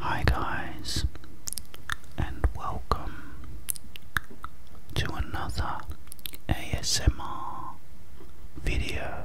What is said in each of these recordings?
Hi, guys, and welcome to another ASMR video.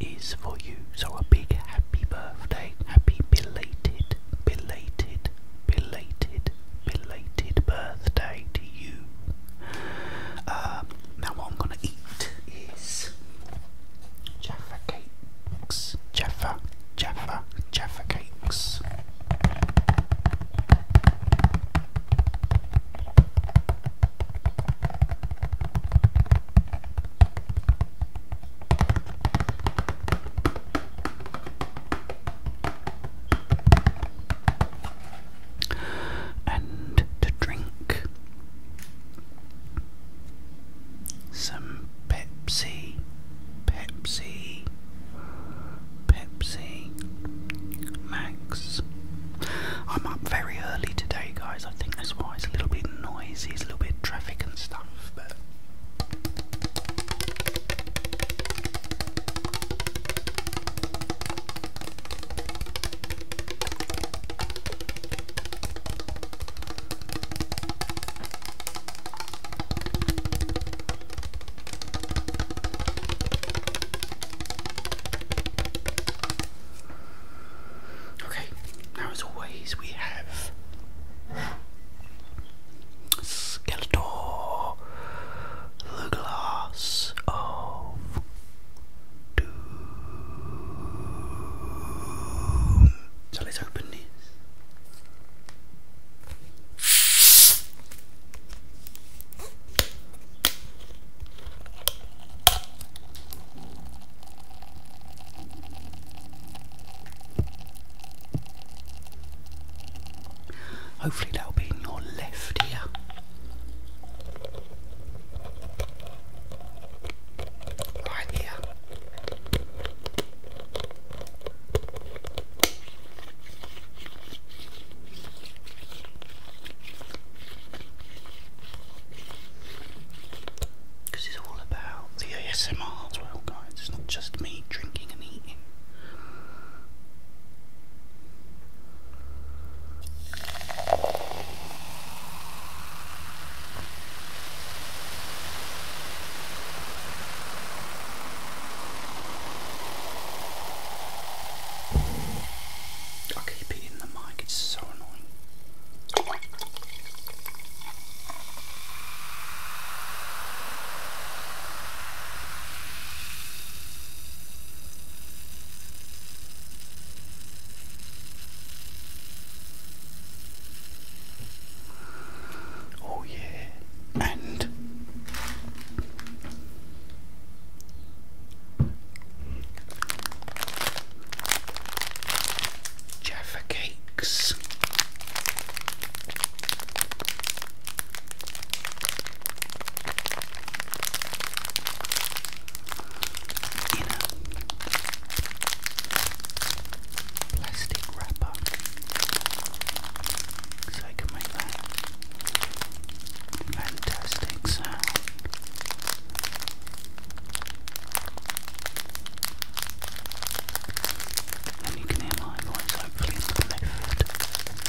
is for you. So a big happy birthday, happy belated, belated, belated, belated birthday to you. Um, now what I'm gonna eat is Jaffa cakes, Jaffa, Jaffa, Jaffa cakes and to drink some Pepsi, Pepsi, Pepsi, mango. I'm up very early today, guys. I think that's why it's a little bit noisy, it's a little bit traffic and stuff, but. Okay, now as always we have Skeletor, the glass of doom. So let's open this. Hopefully that'll be in your left ear. Right here. Because it's all about the ASMR as well, guys. It's not just me drinking and eating. i keep it in the mic, it's so Oh, yeah, and Jaffa Cakes. plastic wrapper, so I can make that fantastic sound. And you can hear my voice hopefully in the left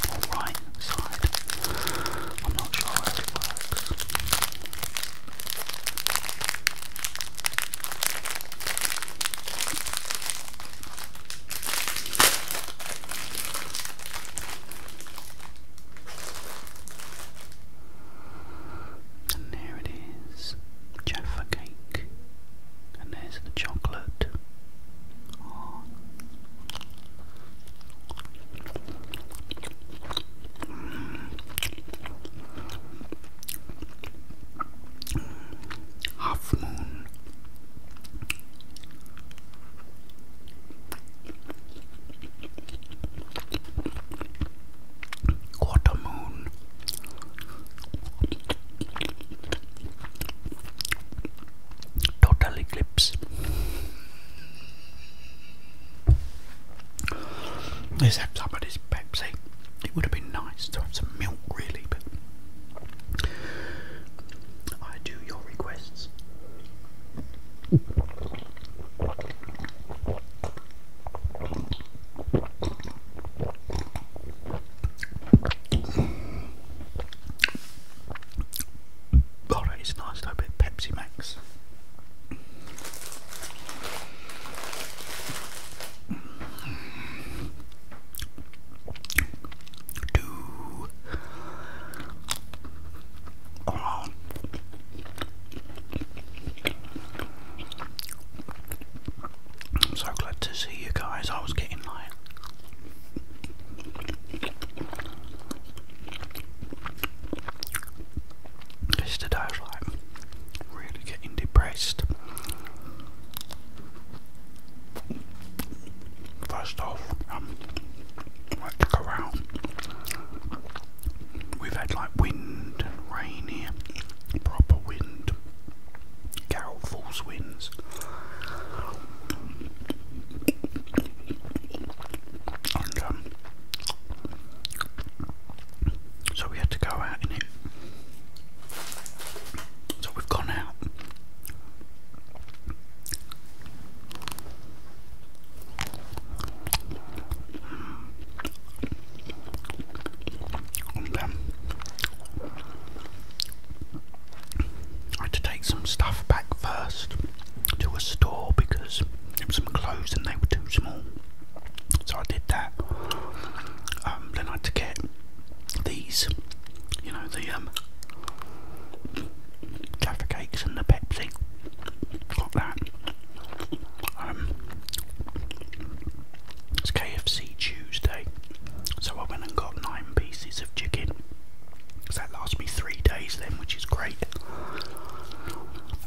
or right side. I'm not sure how it works. And there it is, Jaffa cake. And there's the chocolate. Half moon. Quarter moon. Total eclipse. Let's have some of this Pepsi. It would have been nice to have some milk, really, but I do your requests. Alright, it's nice though, bit Pepsi Max. I'm so glad to see you guys. I was getting like Mister Dashlight, really getting depressed. First off, um, Let's go we had like wind and rain here, proper wind, gale-force winds. And um, so we had to go out in it. So we've gone out. I had to take some stuff back first to a store because it was some clothes and they were too small. So I did that. Um, then I had to get these, you know, the um, Jaffa cakes and the Pepsi. Got that. Um, it's KFC Tuesday, so I went and got nine pieces of chicken. So that lasts me three days then, which is great.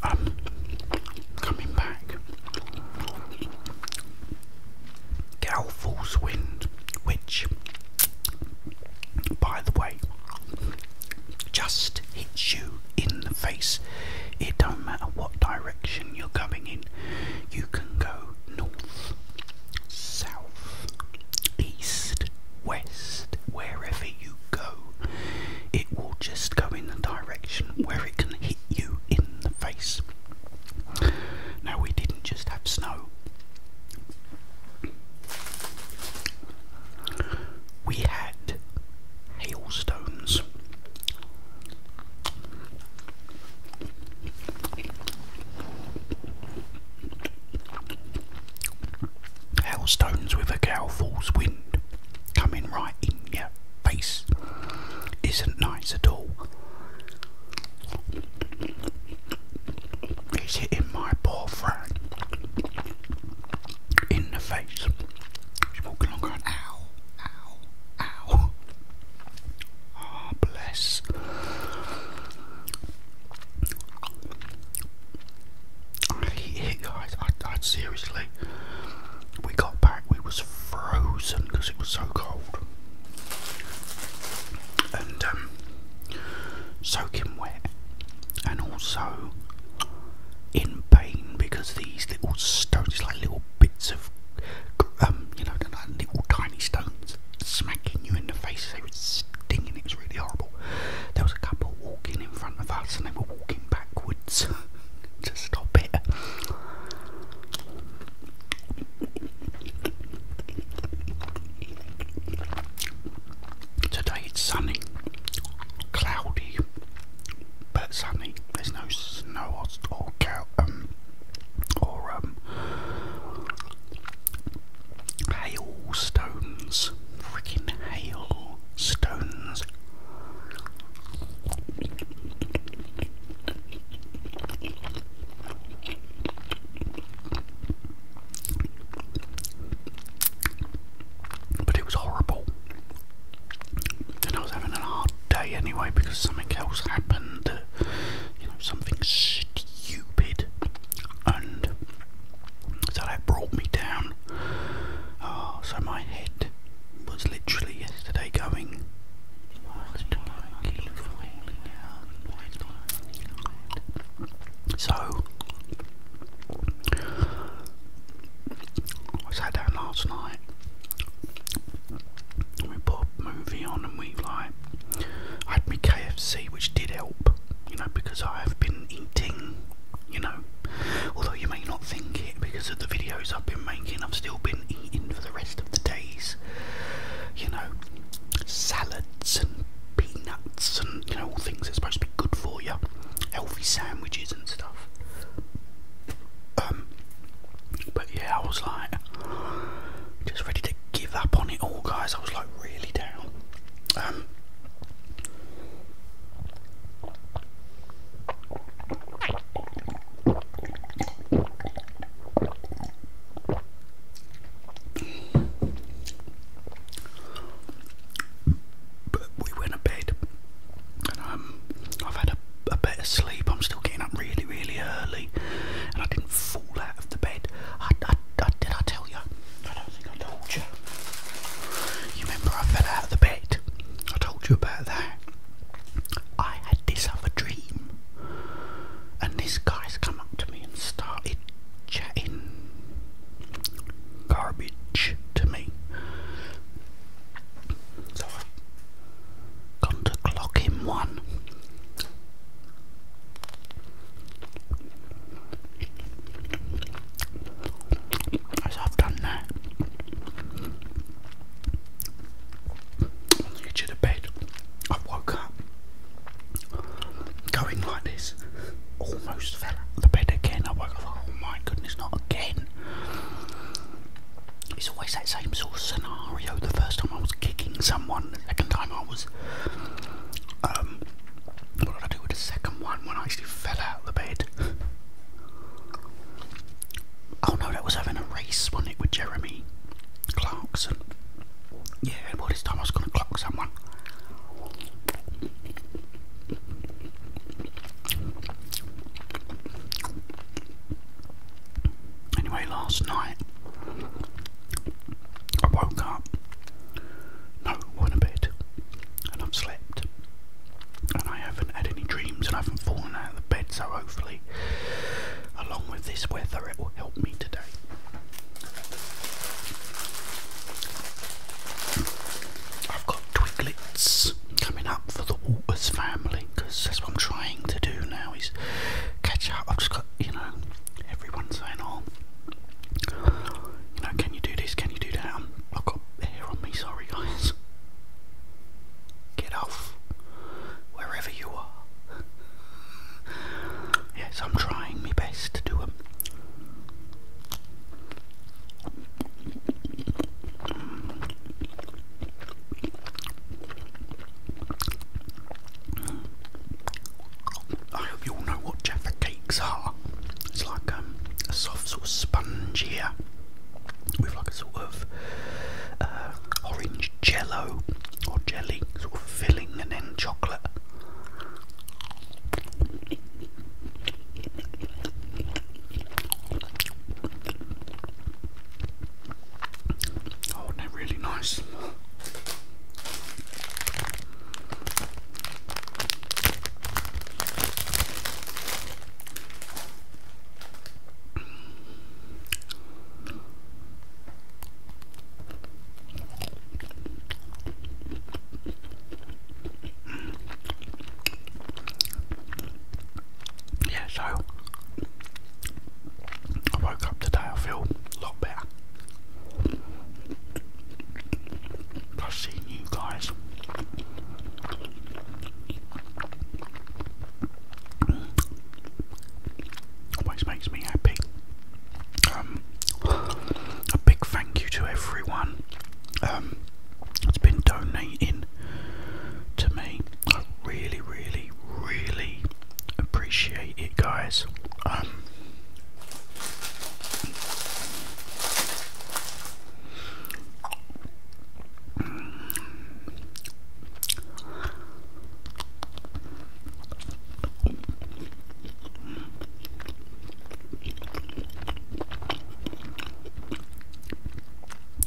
Um, coming back, Galfall's Wind, which, by the way, just hits you in the face. It don't matter what direction you're going in. You can go north, south, east, west, wherever you go. It will just go in the direction where it can hit you in the face. Now we didn't just have snow, we had hailstones. Hailstones with a gale-force wind coming right in your face isn't nice at all. He's hitting my poor friend in the face. He's walking along going, ow, ow, ow. Ah, bless. I hate it, guys. I, I seriously, we got back, we was frozen because it was so cold. And um, soaking wet and also in pain because these little stones, like little bits of, um, you know, little tiny stones smacking you in the face, they were stinging, it was really horrible. There was a couple walking in front of us and they were walking backwards to stop it. Today it's sunny, cloudy, but sunny. There's no snow or hail um or um, hailstones. Freaking hailstones. But it was horrible. And I was having a hard day anyway because something else happened, that, you know, something stupid, and so that brought me down. Ah, so my head was literally yesterday going. So, I sat down last night. We put a movie on and we like I had me KFC which did help, you know, because I have been eating, you know. Although you may not think it because of the videos I've been making, I've still been eating for the rest of the days. You know, salads and peanuts and you know all things that's supposed to be good for you, healthy sandwiches and stuff. Um, but yeah, I was like just ready to give up on it all, guys. I was like really down. Um, but we went to bed, um, I've had a, a better sleep. I'm still getting up really, really early, and I didn't fall out of the bed. I, did I tell you? I don't think I told you. You remember I fell out of the bed? I told you about that. I had this other dream, and this guy's come up to me and started chatting garbage to me. So i to clock in one. I've done that, on the bed, I woke up going like this. Almost fell out the bed again. I woke up, oh my goodness, not again. It's always that same sort of scenario. The first time I was kicking someone, the second time I was. Um, what did I do with the second one when I actually fell out the bed? Oh no, that was having a race, was it, with Jeremy Clarkson? Yeah, by this time I was gonna clock someone. Anyway, last night I woke up, no, went to bed, and I've slept, and I haven't had any dreams, and I haven't fallen out of the bed. So hopefully, along with this weather, it will help me today. I've got twiglets coming up for the Waters family because that's what I'm trying to do now is catch up. I've just got, you know, everyone saying, oh, you know, can you do this? Can you do that? i um, I've got hair on me, sorry guys. Get off wherever you are. Yes, I'm trying my best to do them. I hope you all know what Jaffa cakes are. It's like um, a soft sort of sponge here with like a sort of uh, orange jello or jelly sort of filling and then chocolate. Oh, they're really nice. Yeah, so I woke up today, I feel a lot better. I've seen you guys. Always makes me happy. Um, a big thank you to everyone um, that's been donating to me. really, really, really appreciate it, guys. Um,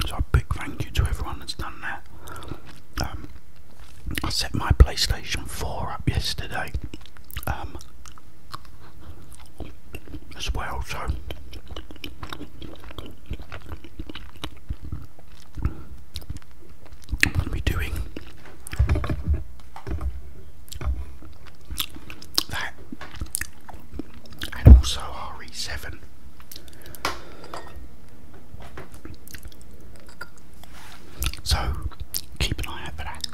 so a big thank you to everyone that's done that. Um, I set my PlayStation 4 up yesterday um, as well, so what are we doing that and also RE7. So keep an eye out for that.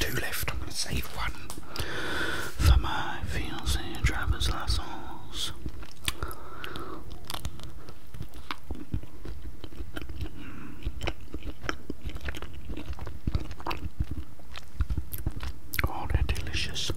Two left, I'm going to save one for my fiance driver's license. Oh, they're delicious.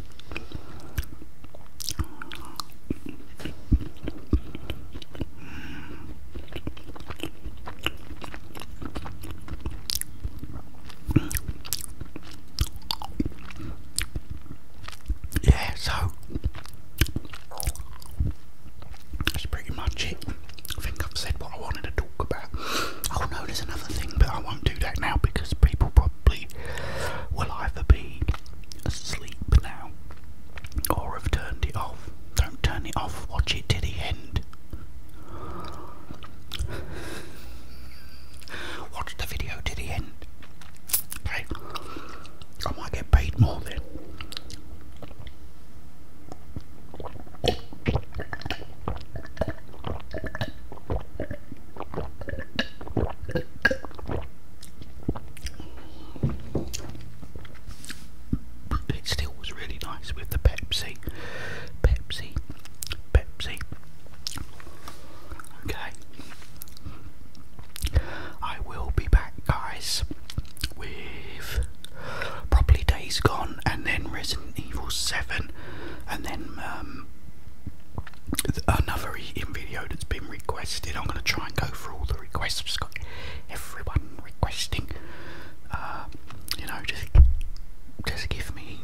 Yeah, so that's pretty much it. I think I've said what I wanted to talk about. Oh no, there's another thing, but I won't do that now because people probably will either be asleep now or have turned it off. Don't turn it off, watch it to the end. Watch the video to the end. Okay. I might get paid more then it still was really nice with the Pepsi. Pepsi. Pepsi. Okay. I will be back, guys, with probably Days Gone and then Resident Evil 7 and then um, another video that's been requested. I'm going to try and go for all the requests. everyone requesting. Uh, you know, just just give me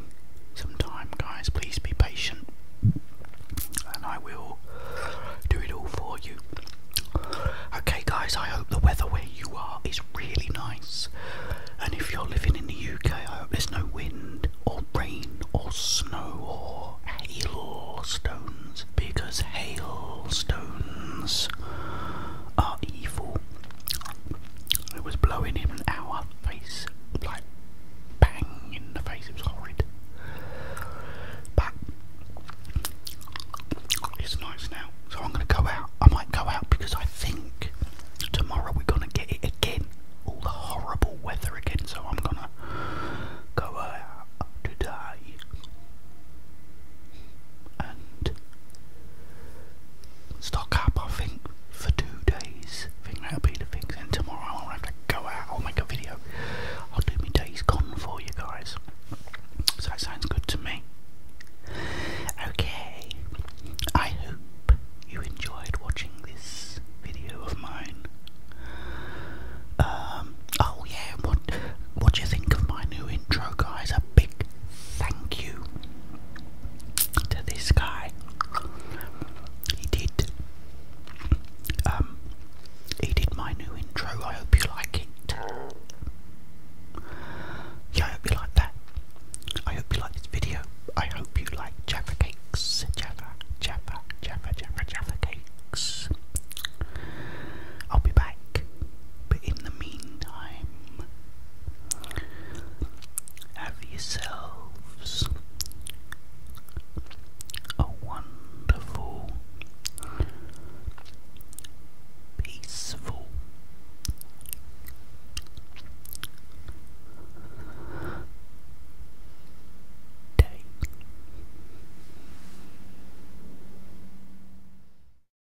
some time, guys. Please be patient, and I will do it all for you. Okay, guys. I hope the weather where you are is really nice, and if you're living in the UK, I hope there's no wind or rain or snow or hail or stones, because hailstones are evil. It was blowing in our face, like bang in the face. It was horrid, but it's nice now. So I'm gonna go out. I might go out because I think tomorrow we're gonna get it again. All the horrible weather again. So I'm gonna go uh, out today and stock up I think for two days. I think that'll be the thing. And tomorrow I'll have to go out, I'll make a video. I'll do my days gone for you guys. So that sounds good to me. Okay. I hope you enjoyed watching this video of mine. Um oh yeah, what what do you think of my new intro, guys. A big thank you to this guy. He did. Um, he did my new intro. I hope you like it. Yeah, I hope you like that. I hope you like this video. I hope you like Jaffa Cakes. Jaffa, Jaffa, Jaffa, Jaffa, Jaffa Cakes. I'll be back but in the meantime, have yourselves a wonderful, peaceful, day.